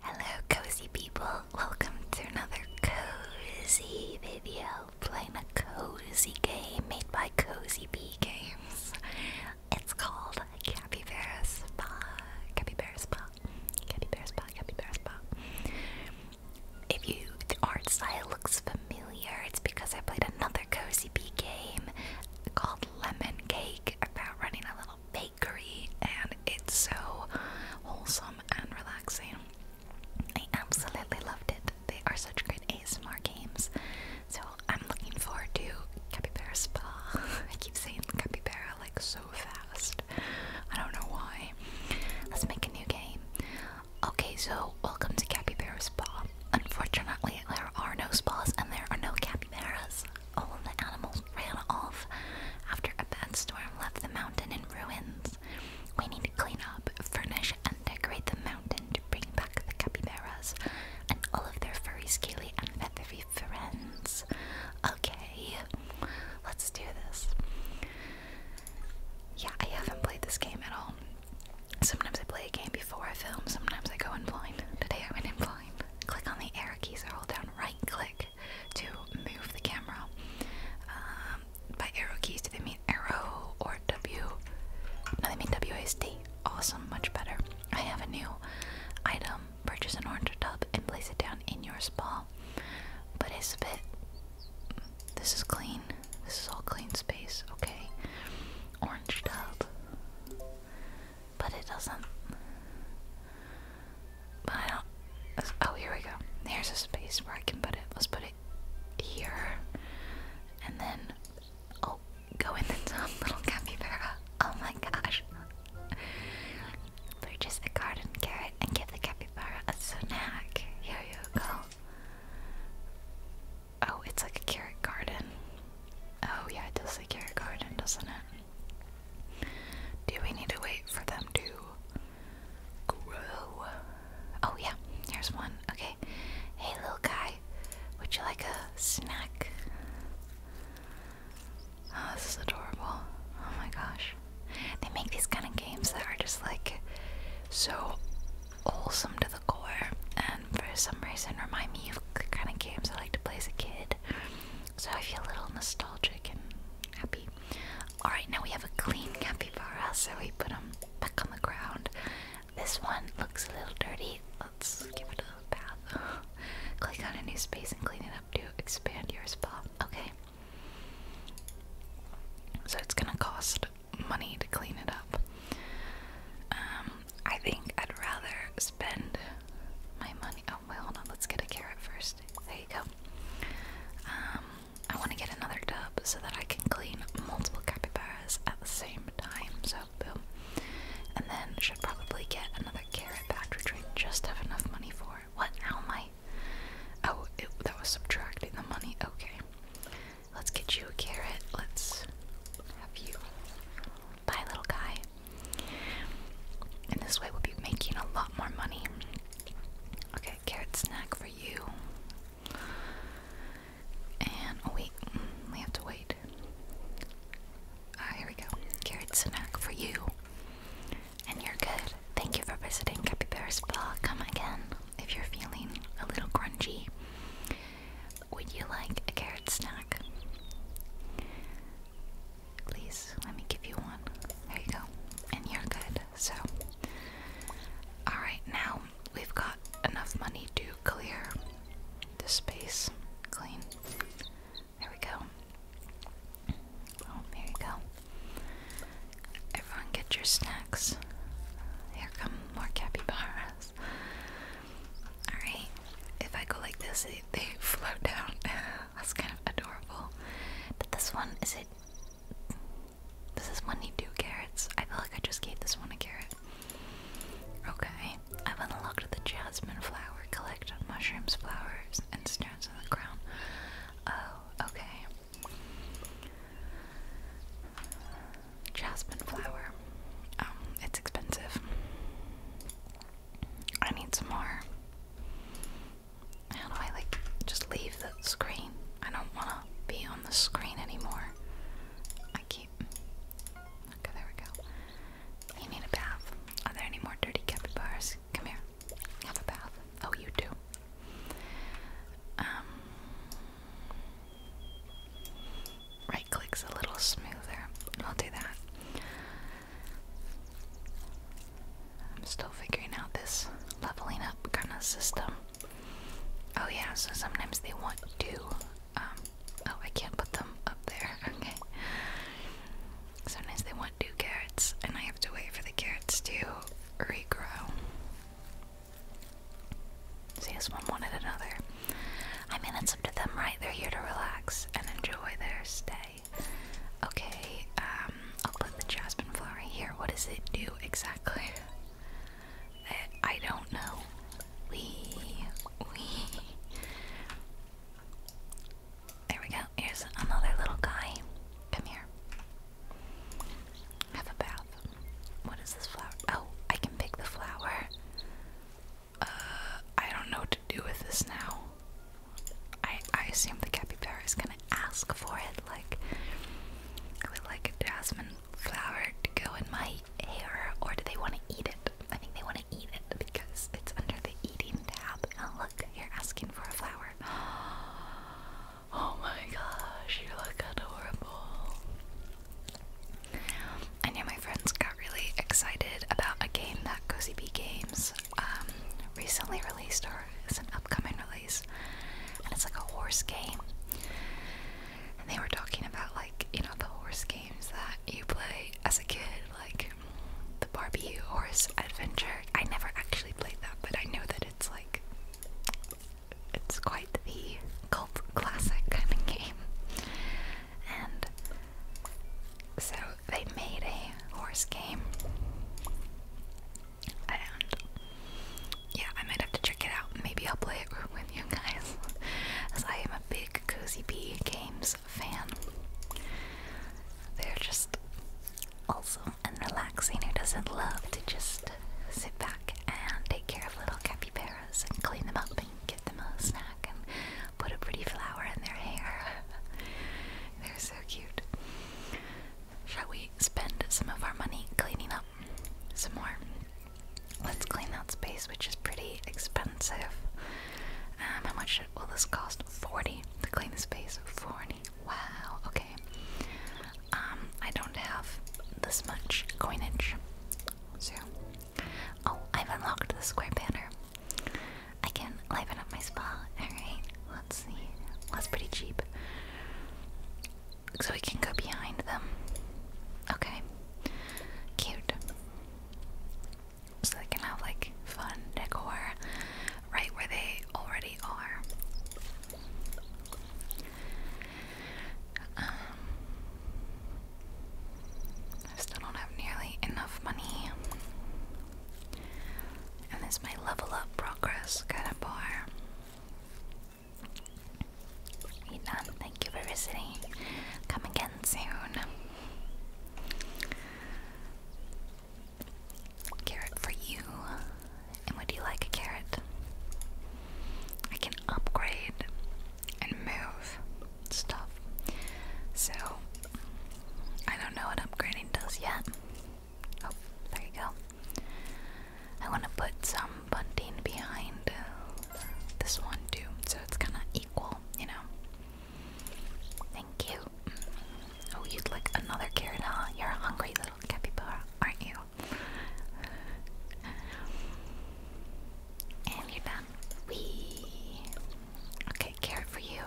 Hello cozy people, welcome to another cozy video playing a cozy game made by Cozy Bee Games. It's called Capybara Spa. Capybara Spa. Capybara Spa, Capybara Spa. If you, the art style looks familiar, it's because I played another Cozy Bee game called Lemon Cake about running a little bake and it's so wholesome and relaxing. I absolutely loved it. They are such great ASMR games. So I'm looking forward to Capybara Spa. I keep saying Capybara like so fast. I don't know why. Let's make a new game. Okay, so welcome to Capybara Spa. Unfortunately, there are no spas and there are no capybaras all the animals ran off after a bad storm left the mountain in ruins. We need to clean up, furnish, and decorate the mountain to bring back the capybaras and all of their furry, scaly, and feathery friends. Okay, let's do this. Yeah, I haven't played this game at all. Sometimes I play a game before I film, sometimes I go in blind. Today I went in blind. Click on the arrow keys or down right click to move the camera. Um, by arrow keys, do they mean arrow or W? No, they mean WASD. Awesome, much better. I have a new item. Purchase an orange tub and place it down in your spa. But it's a bit. This is clean. This is all clean space. Okay. Orange tub but it doesn't. But I don't. Oh, here we go. Here's a space where I can put it. Let's put it here, and then oh, go in the top little capybara. Oh my gosh! Purchase a garden carrot and give the capybara a snack. Here you go. Oh, it's like a carrot garden. Oh yeah, it does say carrot garden, doesn't it? Do we need to wait for them to grow? Oh, yeah, here's one. Okay. Hey, little guy, would you like a snack? Oh, this is adorable. Oh my gosh. They make these kind of games that are just like so wholesome to the core, and for some reason remind me of kind of games I like to play as a kid. So I feel a little nostalgic and happy. Alright, now we have a clean capybara, so we put him back on the ground. This one looks a little dirty. Let's give it a bath. Click on a new space and clean it up to expand your spa. Okay. So it's gonna cost money to clean it up. Um, I think I'd rather spend my money. Oh, Oh, wait, hold on. Let's get a carrot first. There you go. Um, I want to get another tub so that I can clean multiple capybaras at the same time. So, boom. And then should probably get another carrot back, which just have enough money for. What? How am I? Oh, that was subtracting the money. Okay. Let's get you a carrot. Let's have you. Bye, little guy. And this way we'll be making a lot more money. Okay, carrot snack for you. And oh wait, mm, we have to wait. Ah, here we go. Carrot snack for you. And you're good. Thank you for visiting Capybara Spa. Come again if you're feeling a little grungy. Would you like a carrot snack? Please let me give you one. There you go. And you're good. So, alright, now we've got enough money to clear the space clean. There we go. Oh, there you go. Everyone get your snacks. Here come more capybaras. Alright, if I go like this, they, they down. That's kind of adorable. But this one, is it. This is one need two carrots? I feel like I just gave this one a carrot. Okay, I've unlocked the jasmine flower. Collect mushrooms, flowers, and stones on the ground. Oh, okay. Jasmine flower. Um, it's expensive. I need some more how do I like just leave the screen? I don't want to be on the screen anymore. I keep. Okay, there we go. You need a bath. Are there any more dirty capybaras? Come here. Have a bath. Oh, you do. Um. Right click's a little smoother. I'll do that. I'm still figuring out this leveling up kind of system. Oh, yeah, so sometimes they want to. Um, oh, I can't put them up there. Okay. Sometimes they want two carrots, and I have to wait for the carrots to regrow. See, this one wanted another. I mean, it's up to them, right? They're here to relax and enjoy their stay. Okay, um, I'll put the jasmine flower here. What does it do exactly? I don't know. We, we. There we go. Here's another little guy. Come here. Have a bath. What is this flower? Oh, I can pick the flower. Uh, I don't know do with this now? I I assume the capybara is gonna ask for it. Like, would like a jasmine flower to go in my hair, or do they want to eat it? I think they want to eat it because it's under the eating tab. Oh look, you're asking for a flower. Oh my gosh, you look adorable. I know my friends got really excited about a game that Cozy Games um, recently released, or it's an upcoming release, and it's like a horse game. And they were talking about like you know the horse games that you play as a kid, like the Barbie Horse Adventure. I never actually played that, but I know that it's like it's quite the cult classic kind of game. And so they made a horse game. And yeah, I might have to check it out. Maybe I'll play it with you guys, as I am a big Cozy Bee Games fan. They're just awesome and relaxing. Who doesn't love to just sit back and take care of little capybaras and clean them up and give them a snack and put a pretty flower in their hair? They're so cute. Shall we spend some of our money cleaning up some more? Let's clean that space, which is pretty expensive. Um, how much will this cost? 40 to clean the space. 40. Wow, okay. Um, I don't have this much coinage. So, oh, I've unlocked the square banner. I can liven up my spa. Alright, let's see. Well, that's pretty cheap. So we can go behind them. Okay. Cute. So they can have like fun decor right where they already are. Um, I still don't have nearly enough money and it's my level up progress kind of bar. Yinan, thank you for visiting. Come again soon. Carrot for you. And would you like a carrot? I can upgrade and move stuff. So, I don't know what upgrading does yet. Oh, there you go. I want to put some bunting behind uh, this one too, so it's kind of equal, you know. Thank you. Oh, you'd like another carrot, huh? You're a hungry little capybara, aren't you? and you're done. Wee. Okay, carrot for you.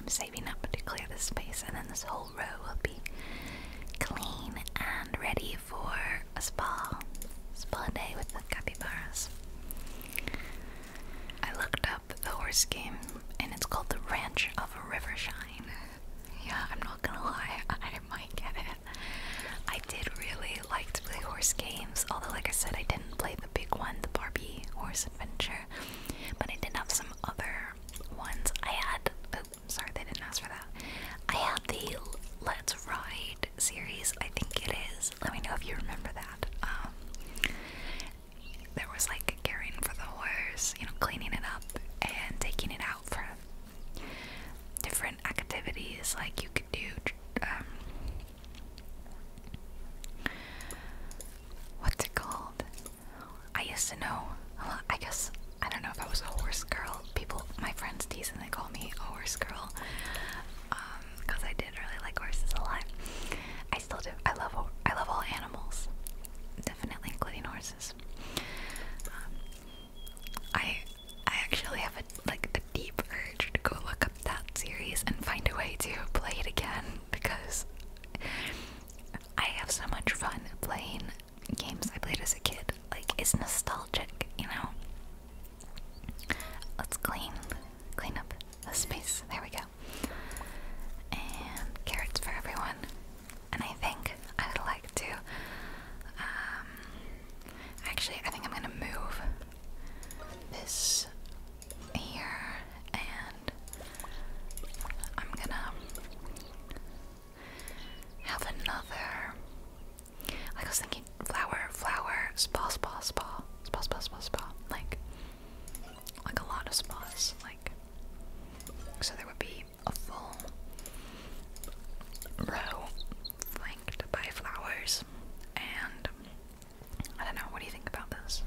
I'm saving up to clear the space, and then this whole row will be clean and ready for a spa. Spa day with the capybaras. I looked up the horse game, and it's called the Ranch of Rivershine. Yeah, I'm not gonna lie, I did might get it. I did really like to play horse games, although, like I said, I didn't play the big one, the Barbie Horse Adventure. But I did have some other ones. I had. Oh, sorry, they didn't ask for that. I had the Let's Ride series. I think it is. Let me know if you remember that. Um, there was like caring for the horses, you know, cleaning it up and taking it out for different activities. Like you could do um, What's it called? I used to know. I guess I don't know if I was a horse girl. People, my friends tease and they call me a horse girl because um, I did really like horses a lot. I still do. I love. I love all animals, definitely including horses. Um, I I actually have a like a deep urge to go look up that series and find a way to play it again because I have so much fun playing games I played as a kid. Like, it's nostalgic, you know? Let's clean, clean up the space. There we go. And carrots for everyone. And I think I would like to, um, actually, I think I'm gonna move this here and I'm gonna have another I was thinking flower, flower, spa, spa, spa, spa, spa, spa, spa. Like like a lot of spas. Like so there would be a full row flanked by flowers and I don't know. What do you think about this?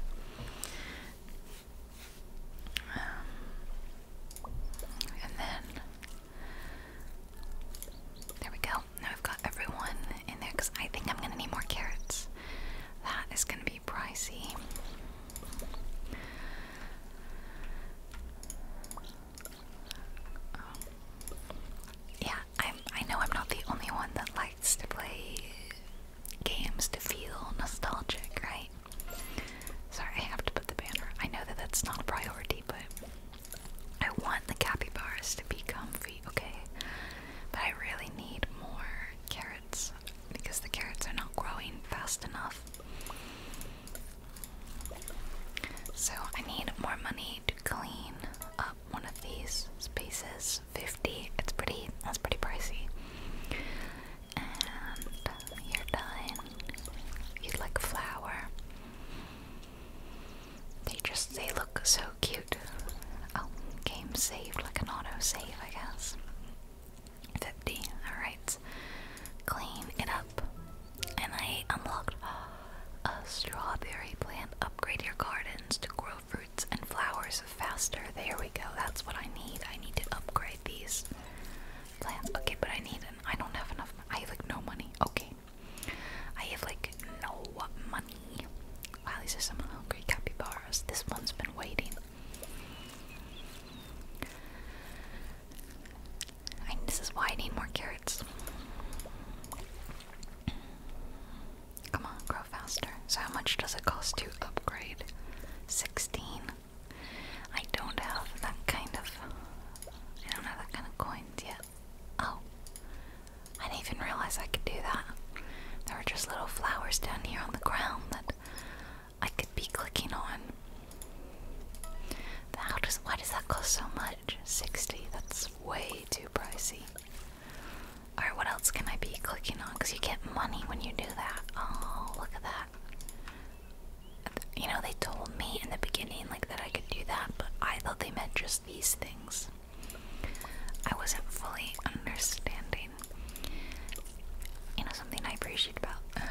Um, and then there we go. Now I've got everyone in there because I think I'm gonna need more carrots. That is gonna be pricey. Oh. yeah, I'm. I know I'm not the only one that likes to play games to feel nostalgic, right? Sorry, I have to put the banner. I know that that's not a priority, but I want the cappy bars to be comfy, okay? But I really need more carrots because the carrots are not growing fast enough. So I need more money to clean up one of these spaces fifty. It's pretty. That's pretty pricey. And you're done. You'd like flower. They just they look so cute. Oh, game saved like an auto save, I guess. Fifty. All right. Clean it up. And I unlocked a strawberry plant. Upgrade your gardens to grow fruit and flowers faster. There we go. That's what I need. I need to upgrade these plants. Okay, but I need an. I don't have enough. I have like no money. Okay. I have like no money. Wow, these are some hungry capybaras. This one's been waiting. this is why I need more carrots. Come on, grow faster. So how much does it cost to upgrade? 16. I don't have that kind of I don't have that kind of coins yet. Oh. I didn't even realize I could do that. There are just little flowers down here on the ground that I could be clicking on. How does why does that cost so much? 60. That's way too pricey. Alright, what else can I be clicking on? Because you get money when you do that. Oh, look at that. You know, they told me in the beginning like that I could do that, but I thought they meant just these things. I wasn't fully understanding. You know, something I appreciate about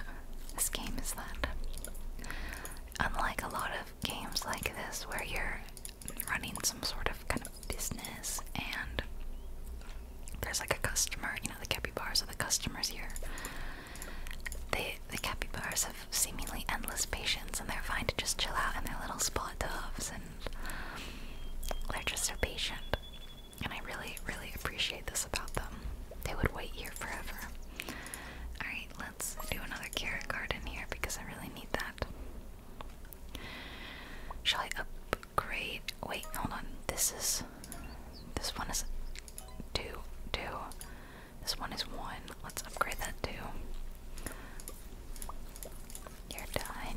this game is that unlike a lot of games like this where you're running some sort of kind of business and there's like a customer, you know, the capybaras are the customers here. They, the capybaras have seemingly endless patience and they're fine to just chill out in their little spot doves and they're just so patient. And I really, really appreciate this about them. They would wait here forever. Alright, let's do another carrot garden here because I really need that. Shall I up great. Wait, hold on. This is. This one is two, two. This one is one. Let's upgrade that too. You're done.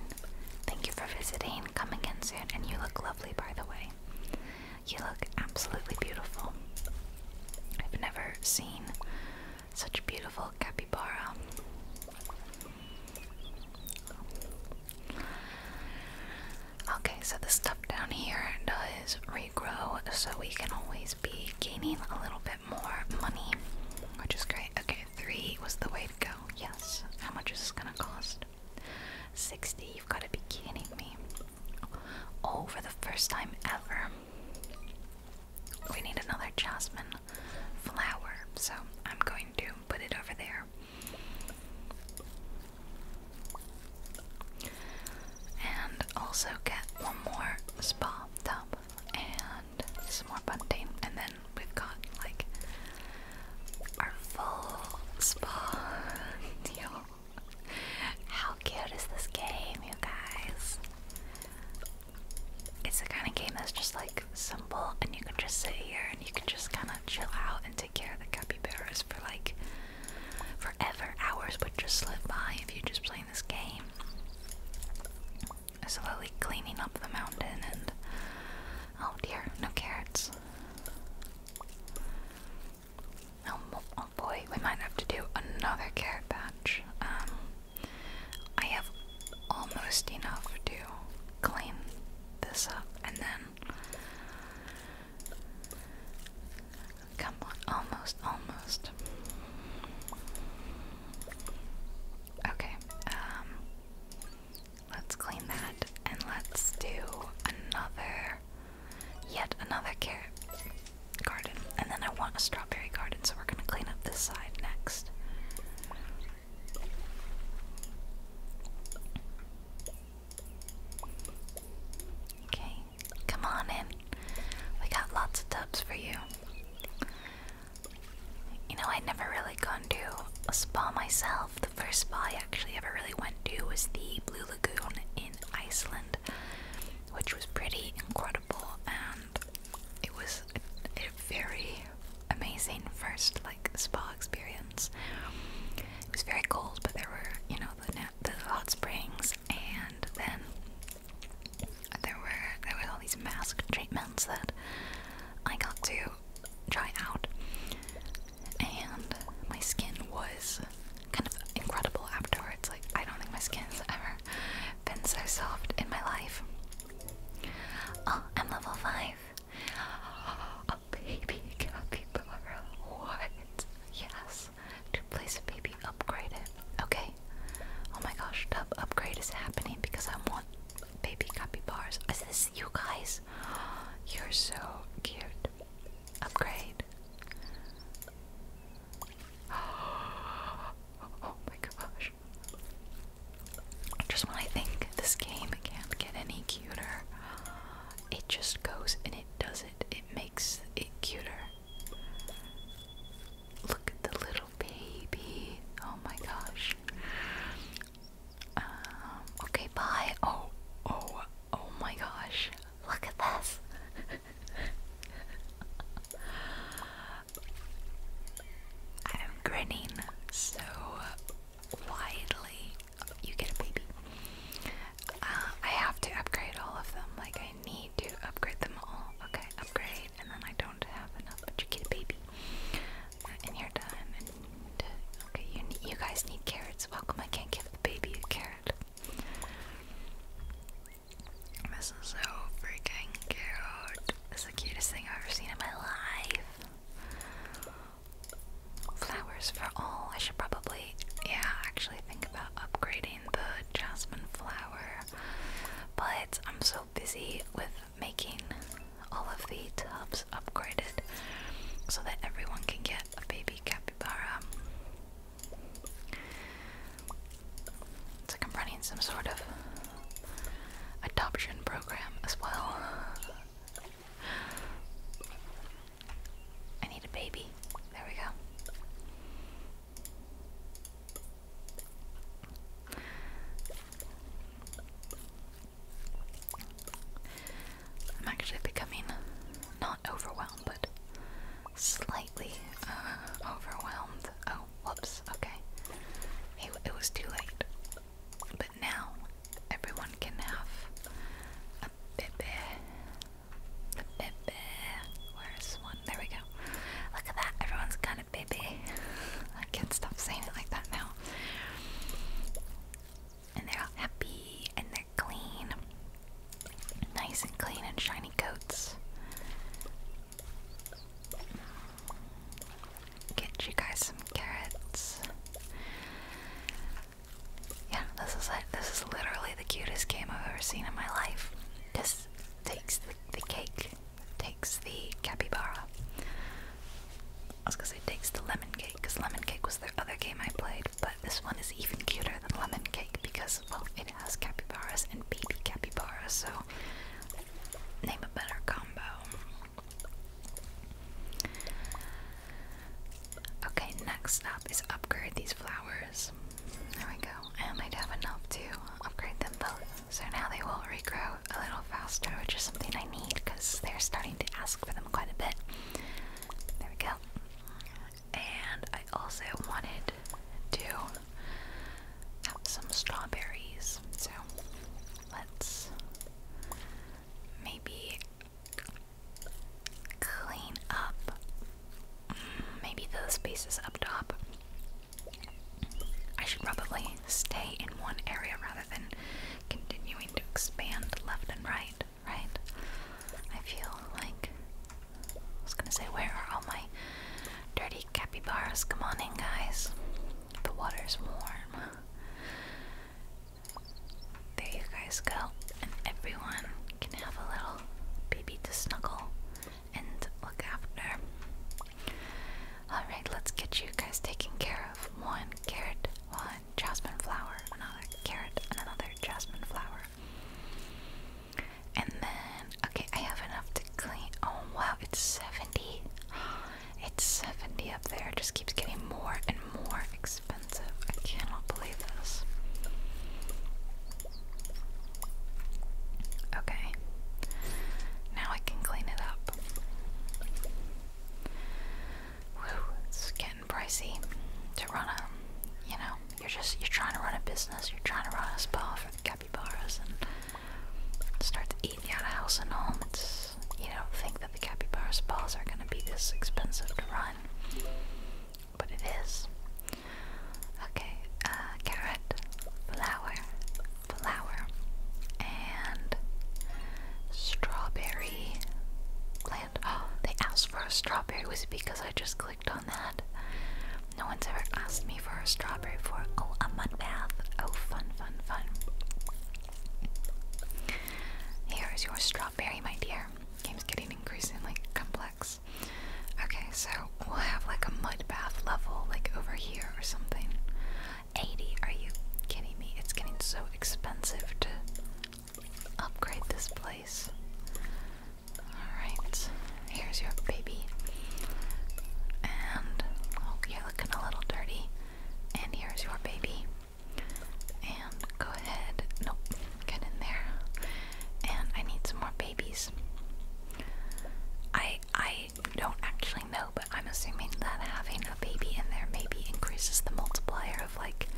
Thank you for visiting. Come again soon. And you look lovely, by the way. You look absolutely beautiful. I've never seen such beautiful capybara. Okay, so the stuff down here does regrow, so we can always be gaining a little bit more money, which is great. Okay, three was the way to go. Yes. How much is this gonna cost? 60. You've got to be kidding me. Oh, for the first time ever, we need another jasmine flower, so I'm going to put it over there. And also get one more spa tub and some more bunting. And then we've got like our full spa deal. How cute is this game, you guys? It's the kind of game that's just like Simple, and you can just sit here and you can just kind of chill out and take care of the capybaras for like forever. Hours but just slip by if you're just playing this game. Slowly cleaning up the mountain, and oh dear, no carrots. Oh, oh boy, we might have to do another carrot batch. Um, I have almost enough to clean this up and then come on, almost, almost. Okay, um let's clean that and let's do another yet another carrot garden. And then I want a strawberry garden, so we're gonna clean up this side next. Okay, come on in. We got lots of tubs for you. You know, I'd never really gone to a spa myself. The first spa I actually ever really went to was the Blue Lagoon in Iceland, which was pretty incredible and it was a, a very amazing first like spa experience. It was very cold, but there were you know the hot springs, and then there were there were all these mask treatments that I got to try out, and my skin was kind of incredible afterwards. Like I don't think my skin's ever been so soft in my life. Oh, I'm level five. A baby capybara. What? Yes. To place a baby, upgrade it. Okay. Oh my gosh, tub upgrade is happening because I want baby bars. Is this you guys? You're so cute. Upgrade. Oh my gosh. Just when I think this game can't get any cuter, it just goes and it does it. It makes it cuter. Look at the little baby. Oh my gosh. Um, okay, bye. Oh, oh, oh my gosh. Look at this. I'm grinning so widely you get a baby. Uh, I have to upgrade all of them. Like I need to upgrade them all. Okay, upgrade, and then I don't have enough. But you get a baby, uh, and you're done. okay, you you guys need carrots. Welcome. I can't give the baby a carrot. This is so freaking cute. It's the cutest thing I've ever seen in my life. Flowers for all. I should probably, yeah, actually think about upgrading the jasmine flower. But I'm so busy with making all of the tubs upgraded so that everyone can get a baby capybara. It's like I'm running some sort of adoption program as well. I need a baby. There we go. I'm actually becoming not overwhelmed, but slightly uh, overwhelmed. Oh, whoops, okay. it was too late now everyone can have a bebe. The bebe. Where's one? There we go. Look at that. Everyone's got a bebe. I can't stop saying it like that now. And they're all happy and they're clean. Nice and clean and shiny coats get you guys some carrots. Yeah, this is This is literally the cutest game I've ever seen in my life. This takes the, cake, takes the capybara. I was gonna say takes the lemon cake, because lemon cake was the other game I played, but this one is even cuter than lemon cake because, well, it has capybaras and baby capybaras, so name a better combo. Okay, next up is upgrade these flowers. There we go. I might have enough to upgrade them both. So now they will regrow a little faster, which is something I need because they're starting to ask for them quite a bit. There we go. And I also wanted to have some strawberries. So let's maybe Clean up. Mm, maybe those spaces up top. I should probably stay in one area rather than continuing to expand left and right, right? I feel like. I was gonna say, where are all my dirty capybaras? Come on in, guys. The water's warm. There you guys go, and everyone can have a little baby to snuggle and look after. Alright, let's get you guys taken care of. One carrot, one jasmine flower, another carrot, and another jasmine flower. And then, okay, I have enough to clean. Oh wow, it's 70. It's 70 up there. It just keeps getting more and more expensive. I cannot believe this. Okay. Now I can clean it up. Whew, it's getting pricey to run a you know, you're just you're trying to run a business, you're trying to run a spa for the capybaras and start eating out of house and home. It's because you don't think that the capybara's balls are going to be this expensive to run. But it is. Okay, uh, carrot, flower, flower, and strawberry plant. Oh, they asked for a strawberry. Was it because I just clicked on that? No one's ever asked me for a strawberry for, oh, a mud bath. Oh, fun, fun, fun. Here is your strawberry, my dear. Game's getting increasingly complex. Okay, so we'll have like a mud bath level, like over here or something. 80, are you kidding me? It's getting so expensive to upgrade this place. Alright, here's your baby. And, oh, you looking a little dirty. And here's your baby. And go ahead. Nope. Get in there. And I need some more babies. I I don't actually know, but I'm assuming that having a baby in there maybe increases the multiplier of like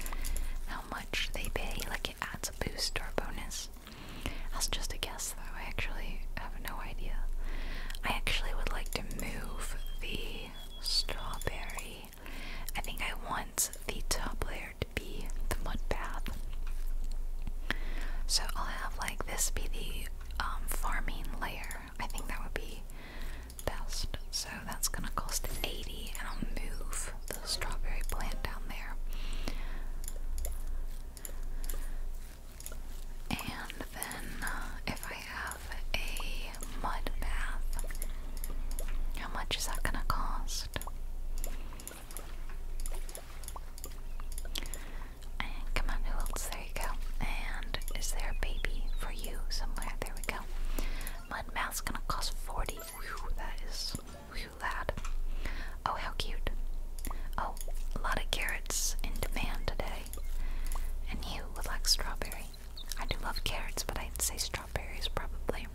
how much they pay. Like it adds a boost or bonus. That's just a guess though. I actually have no idea. I actually would like to move the strawberry I think I want the top layer to be the mud path, So I'll have like this be the um, farming layer. I think that would be best. So that's gonna cost 80 and I'll move the strawberry plant down there. And then uh, if I have a mud bath. How much is that gonna cost? come on, who else? There you go. And is there a baby for you somewhere? There we go. Mud bath's gonna cost 40. that is lad. Oh how cute. Oh, a lot of carrots in demand today. And you would like strawberries. I do love carrots, but I'd say strawberries probably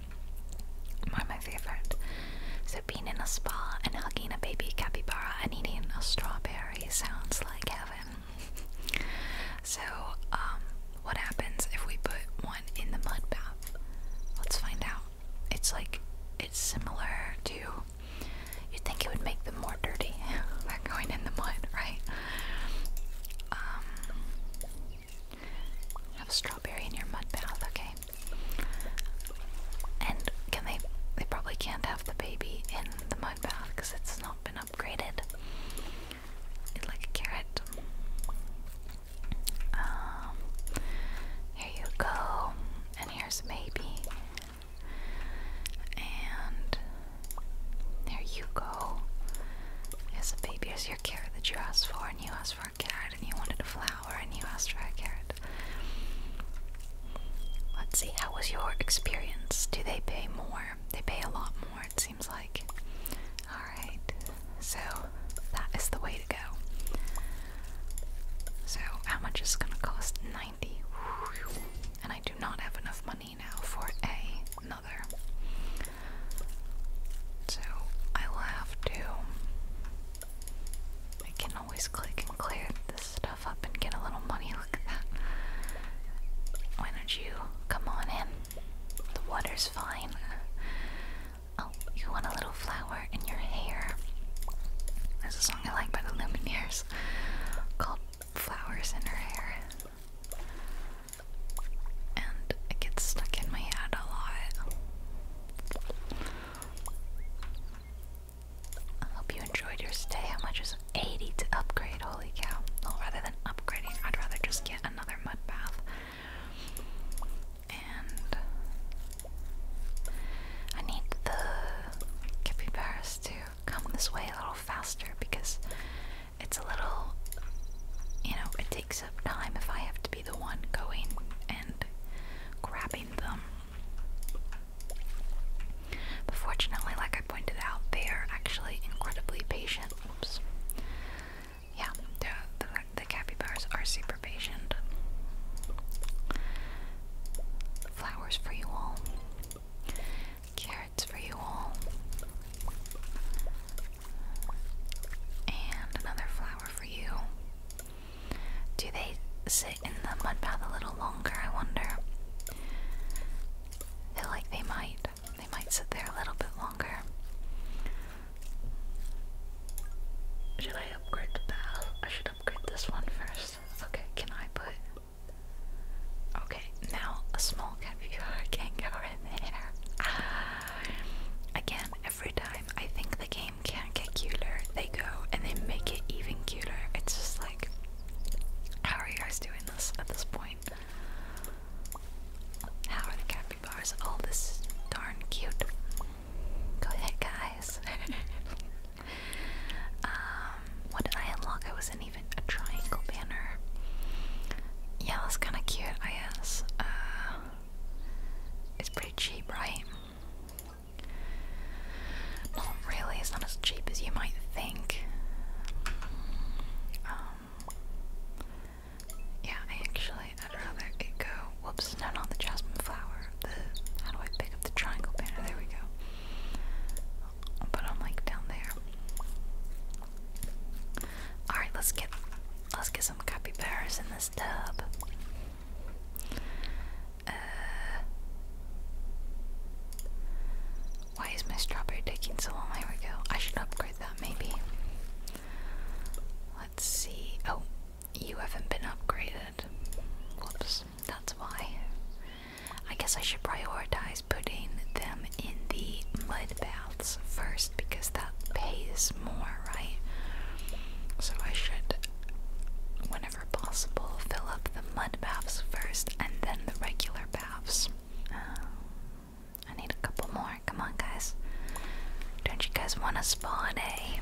are my favorite. So being in a spa and hugging a baby capybara and eating a strawberry sounds like heaven. so, um, what happens if we put one in the mud bath? Let's find out. It's like it's similar to. You'd think it would make them more dirty by going in the mud, right? Um, have a strawberry in your mud bath, okay? And can they? They probably can't have the baby in the mud bath because it's not been upgraded. It's like a carrot. Um, here you go, and here's maybe, and there you go. As a baby, is your carrot that you asked for, and you asked for a carrot, and you wanted a flower, and you asked for a carrot. Let's see, how was your experience? Do they pay more? They pay a lot more, it seems like. Alright, so that is the way to go. So, how much is it gonna cost? 90. And I do not have enough money now for a so I will have to. I can always click and clear this stuff up and get a little money. Look at that. Why don't you come on in? The water's fine. Oh, you want a little flower in your hair. There's a song I like by the Lumineers called Flowers in Her Hair and it gets stuck in my head a lot. I hope you enjoyed your stay. How much is 80 to upgrade? Holy cow. Well, rather than upgrading, I'd rather just get another mud bath. And I need the capybaras to come this way a little faster because it's a little, you know, it takes up time if I have to be the one going and grabbing them. But fortunately, like I pointed out, they are actually incredibly patient. Oops. Yeah, the, the, the capybaras are super patient. Flowers for you all cards for you all. And another flower for you. Do they sit in the mud bath a little longer, I wonder? feel like they might. They might sit there a little bit longer. Should I upgrade the bath? I should upgrade this one first. Okay, can I put. Okay, now a small caviar can go Ah. Again, every time I think the game can't get cuter, they go and they make it even cuter. It's just like, how are you guys doing this at this point? How are the capybaras? All this darn cute. Go ahead, guys. um, what did I unlock? I wasn't even a triangle banner. Yeah, that's kind of cute, I guess. Uh, it's pretty cheap, right? Not really, it's not as cheap as you might think. Um, yeah, I actually, I'd rather it go. Whoops, no, not the jasmine flower. The how do I pick up the triangle banner? There we go. put them like down there. Alright, let's get let's get some capybaras in this tub. Uh, why is my strawberry taking so long? There we I should upgrade that maybe. Let's see. Oh, you haven't been upgraded. Whoops, that's why. I guess I should prioritize advise putting them in the mud baths first because that pays more, right? So I should, whenever possible, fill up the mud baths first and then the regular baths. Um, I need a couple more. Come on, guys. Don't you guys want a spa day?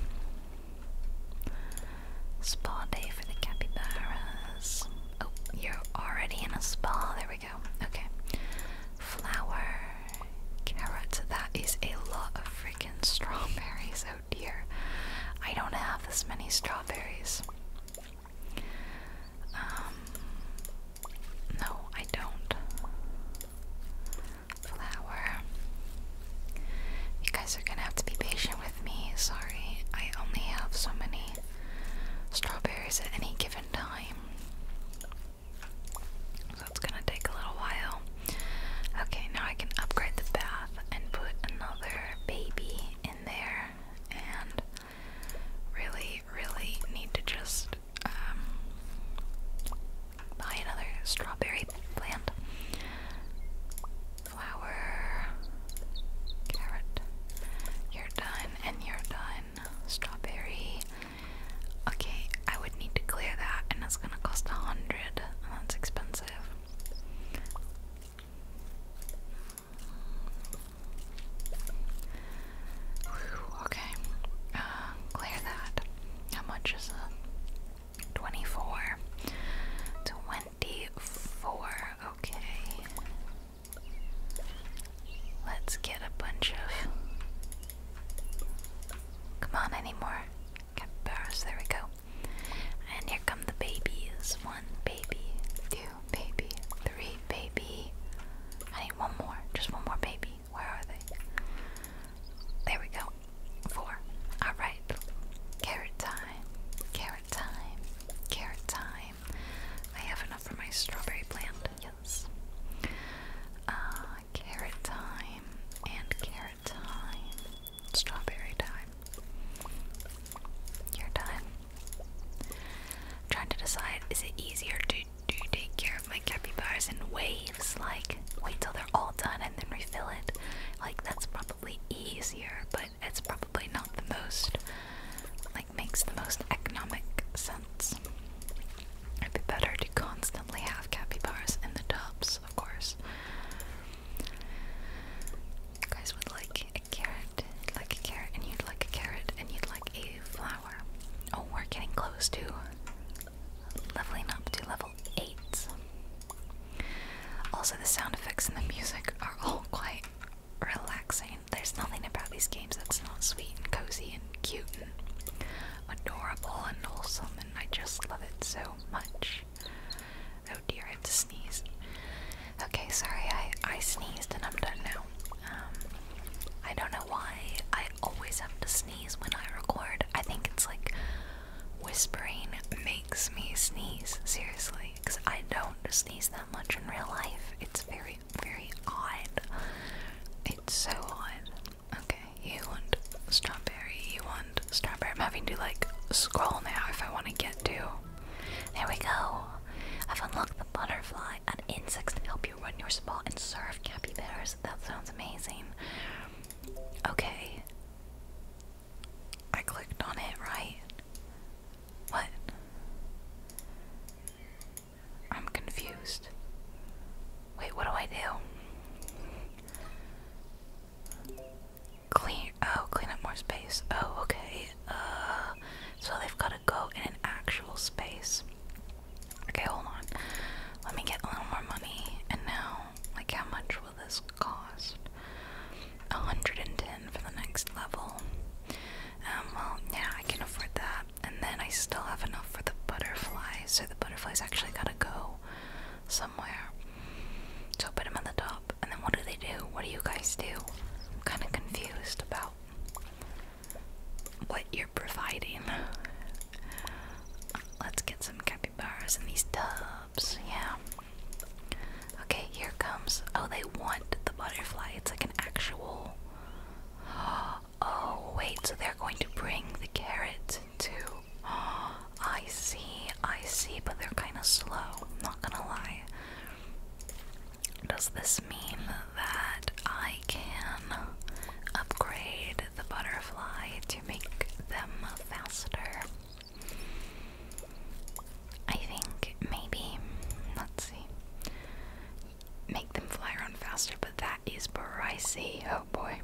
Spa day for the capybaras. Oh, you're already in a spa. There we Okay. Flower, carrot. That is a lot of freaking strawberries. Oh dear. I don't have this many strawberries. Um, no, I don't. Flower. You guys are gonna have to be patient with me. Sorry, I only have so many strawberries at any given time. So it's gonna take a little while. Okay, now I can upgrade the bath and put another baby in there. And really, really need to just um, buy another strawberry plant. Flower, carrot. You're done, and you're done. Strawberry. Okay, I would need to clear that, and that's gonna cost a hundred, that's expensive. okay, uh, clear that. How much is it? 24. 24, okay. Let's get a bunch of. Come on, anymore. Capybaras, there we go. And here come the babies. One baby, two baby, three baby. I need one more, just one more baby. Where are they? There we go. Four. Alright. Carrot time. Carrot time. Carrot time. I have enough for my strawberry plant. Uh, carrot time and carrot time. Strawberry time. Your time. trying to decide is it easier to do take care of my capybaras in waves, like wait till they're all done and then refill it. Like that's probably easier, but it's probably not the most makes the most economic sense. It'd be better to constantly have bars in the tubs, of course. You guys would like a carrot, like a carrot, and you'd like a carrot, and you'd like a flower. Oh, we're getting close to leveling up to level 8. Also, the sound effects and the music are all quite relaxing. There's nothing about these games that's not sweet and cozy cute and adorable and wholesome, and I just love it so much. Oh dear, I have to sneeze. Okay, sorry, I, I sneezed and I'm done now. Um, I don't know why I always have to sneeze when I record. I think it's like whispering makes me sneeze, seriously, because I don't sneeze that much in real life. It's very very, odd. It's so odd. Okay, you want strawberry, you want strawberry. I'm having to like scroll now if I want to get to. There we go. I've unlocked the butterfly and insects to help you run your spa and serve capybaras. That sounds amazing. Okay. I clicked on it, right? What? I'm confused. Wait, what do I do? Clean. Oh, clean up more space. Oh, okay. Uh, so they've got to go in an actual space. Okay, hold on. Let me get a little more money. And now, like, how much will this cost? 110 for the next level. Um, well, yeah, I can afford that and then I still have enough for the butterfly, so the butterfly's actually gotta go somewhere. So I put them on the top, and then what do they do? What do you guys do? I'm kind of confused about what you're providing. Let's get some bars in these tubs, yeah. Okay, here comes. Oh, they want the butterfly. It's like an actual. Oh, Oh, wait, so they're going to bring the carrot too. Oh, I see, I see, but they're kind of slow, not gonna lie. Does this mean that I can upgrade the butterfly to make them faster? I think maybe. Let's see make them fly around faster, but that is pricey. Oh boy,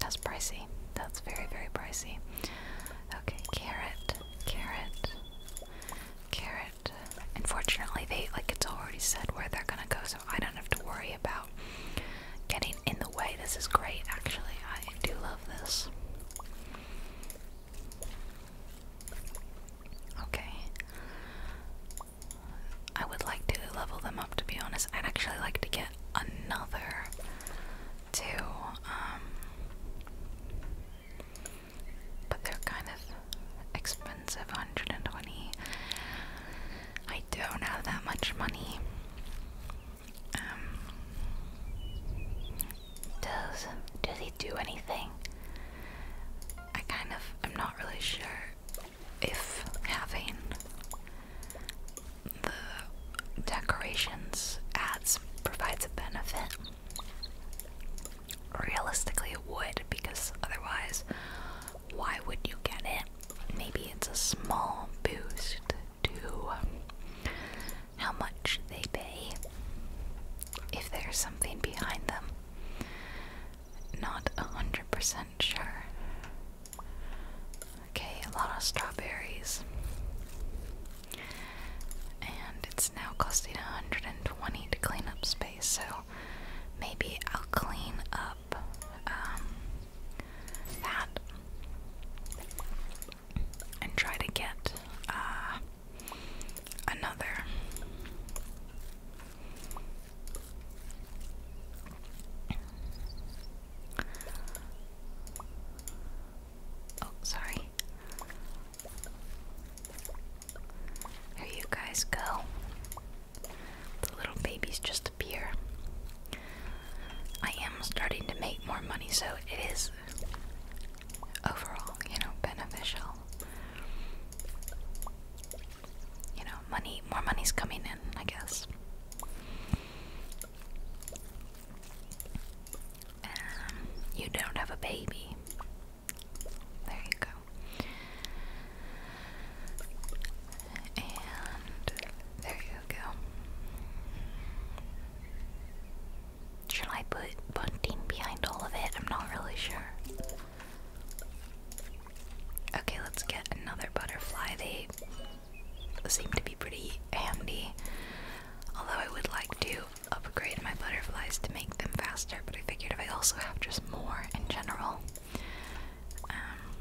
that's pricey. That's very, very pricey. Okay, carrot, carrot, carrot. Unfortunately, they like it's already said where they're gonna go, so I don't have to worry about getting in the way. This is great, actually. I do love this. Okay. I would like to level them up to be honest. I'd actually like to get another two. Um but they're kind of expensive, 120. I don't have that much money. Um, does do they do anything? I kind of i am not really sure if having the decorations adds provides a benefit. Realistically, it would because otherwise, why would you get it? Maybe it's a small boost to um, how much they pay if there's something behind them. Not a hundred percent sure. Okay, a lot of strawberries. And it's now costing 120 to clean up space, so maybe I'll clean up um, that and try to get uh, another Oh, sorry. There you guys go. The little babies just appear. I am starting to make more money, so it is overall, you know, beneficial you know, money, more money's coming in, I guess. Um, you don't have a baby. There you go. And there you go. Should I put bunting behind all of it? I'm not really sure. Okay, let's get another butterfly. They seem to be pretty handy. Although I would like to upgrade my butterflies to make them faster, but I figured if I also have just more in general. Um,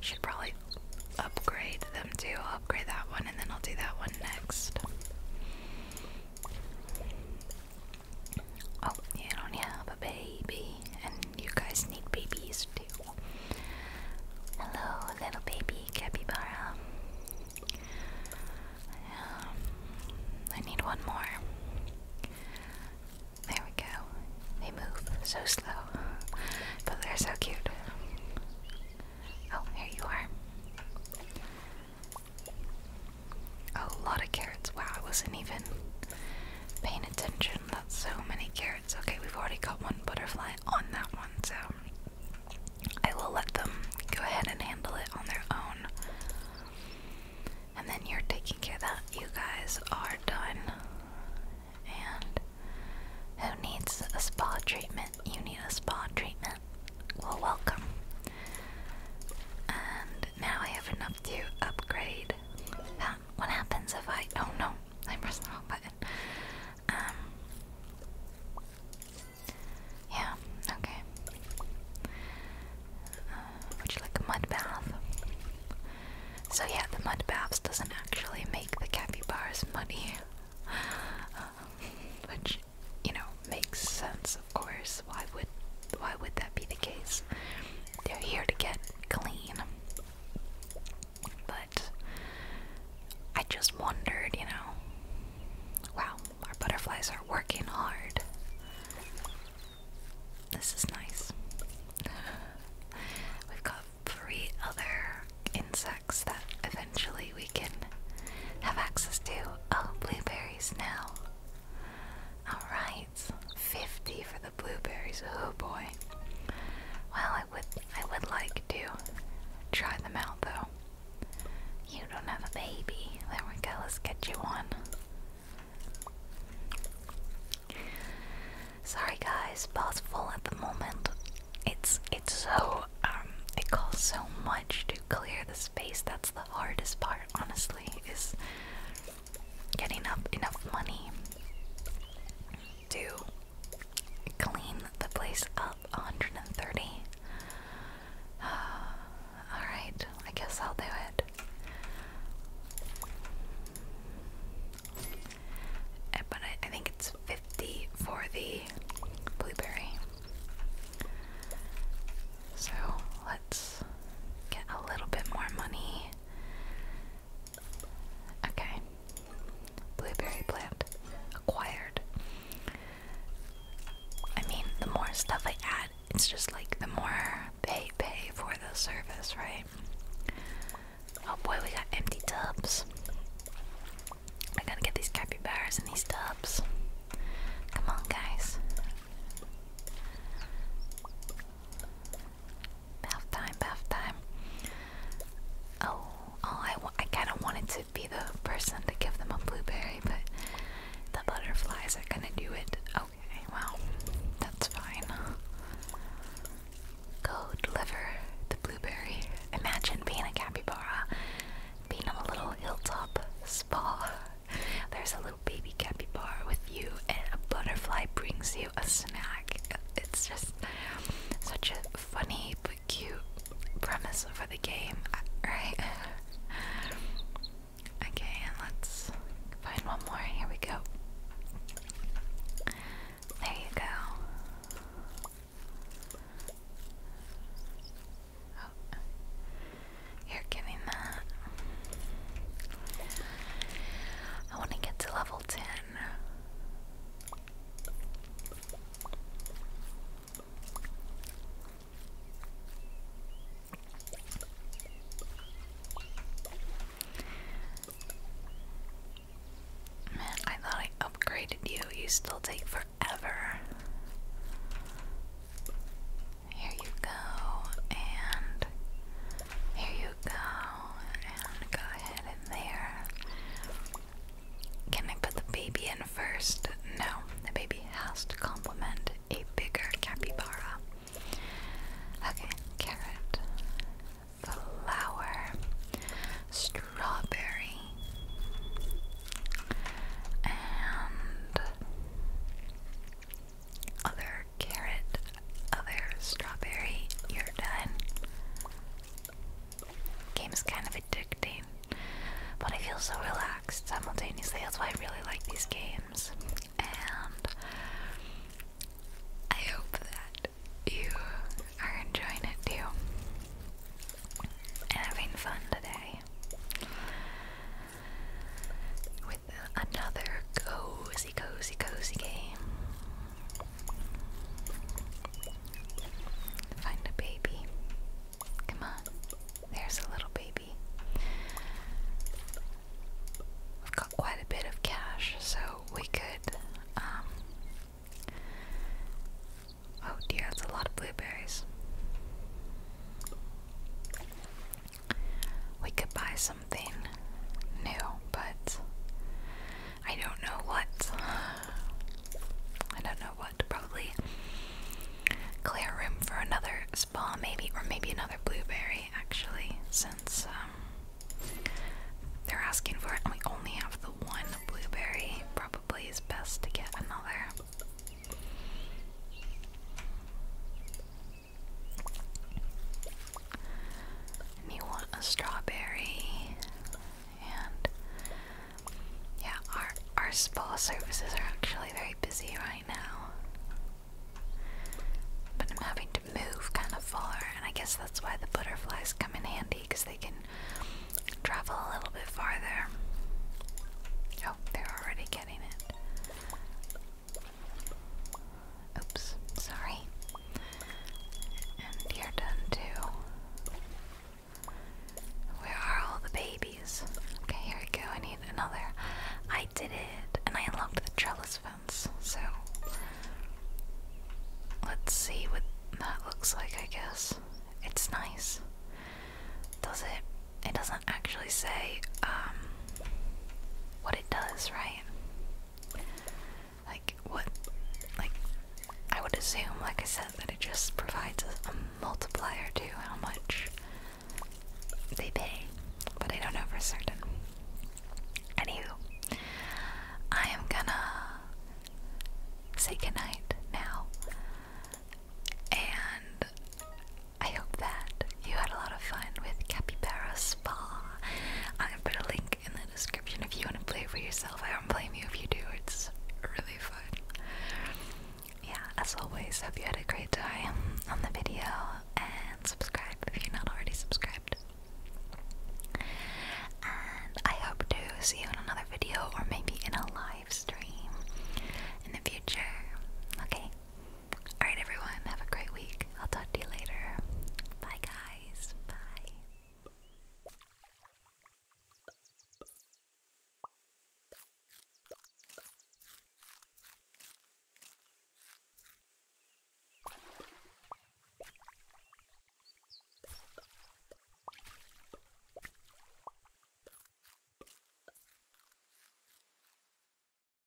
should probably upgrade them too. upgrade that one and then I'll do that one next. Oh, you don't have a baby, and you guys need babies too. Hello, little baby capybara. Um, I need one more. There we go. They move so slow, but they're so cute. Oh, here you are. A lot of carrots. Wow, I wasn't even paying attention. That's so many carrots. Okay, we've already got one butterfly on that one, so I will let them go ahead and handle it on their own. And then you're taking care that. You guys are done. And who needs a spa treatment? You need a spa treatment. Well, welcome. And now I have enough to upgrade. Um, what happens if I? Oh no, I pressed the wrong button. Um. Yeah. Okay. Uh, would you like a mud bath? So yeah, the mud baths doesn't actually make the capybaras muddy, which you know makes sense, of course why would why would that be the case? They're here to get clean. But I just wondered, you know, wow, our butterflies are working hard. This is nice. We've got three other insects that eventually we can have access to. Oh, blueberries now. Alright. 50 for the blueberries. Oh boy. Well, I would I would like to try them out though. You don't have a baby. There we go. Let's get you one. Sorry guys, boss full at the moment. It's it's so um it costs so much to clear the space. That's the hardest part, honestly, is getting up enough money to clean the place up 130 all right i guess i'll do it eh, but I think it's 50 for the blueberry so let's get a little bit more money. Okay. Blueberry plant acquired. I mean, the more stuff I add, it's just like the more pay pay for the service, right? Oh boy, we got empty tubs. I gotta get these capybaras in these tubs. Come on, guys. Bath time, Oh, oh I, kind of wanted to be the person to give them a blueberry, but the butterflies are gonna do it. Okay, well, that's fine. Go deliver the blueberry. Imagine being a capybara, being on a little hilltop spa. There's a little little baby bar with you, and a butterfly brings you a snack. It's just such a funny but cute premise for the game, right? okay, and let's find one more. Here we go. There you go. Oh. You're getting that. I want to get to level 10. Man, I thought I upgraded you. You still take forever. Here you go, and here you go, and go ahead in there. Can I put the baby in first? No, the baby has to complement a bigger capybara. Okay, carrot, flower, strawberry, and other carrot, other strawberry, you're done. Game is kind of addicting, but I feel so relaxed simultaneously. That's why I really like these games, and I hope that you are enjoying it too having fun today with another cozy, cozy, cozy game. Find a baby. Come on. There's a little baby. We've got quite a bit of cash, so we could. Um, oh dear, that's a lot of blueberries we could buy something new, but I don't know what. I don't know what. Probably clear room for another spa, maybe, or maybe another blueberry, actually, since um, they're asking for it and we only have the one blueberry. Probably is best to get another. And you want a strawberry. And yeah, our our spa services are actually very busy right now. But I'm having to move kind of far, and I guess that's why the butterflies come in handy because they can travel a little bit farther. Oh, they're already getting it. Oops, sorry. And you're done too. Where are all the babies? Okay, here we go. I need another. I did it, and I unlocked the trellis fence. So let's see what that looks like. I guess it's nice. Does it? It doesn't actually say um, what it does, right? Like what? Like I would assume, like I said, that it just provides a, a multiplier to how much they pay, but I don't know for certain. Anywho, I am gonna say goodnight now, and I hope that you had a lot of fun with Capybara Spa. I've put a link in the description if you want to play for yourself. I don't blame you if you do, it's really fun. Yeah, as always, hope you had a great time on the video and subscribe if you're not already subscribed. And I hope to see you in another video or maybe in a live stream in the future. Okay, Alright, everyone, have a great week. I'll talk to you later. Bye, guys. Bye.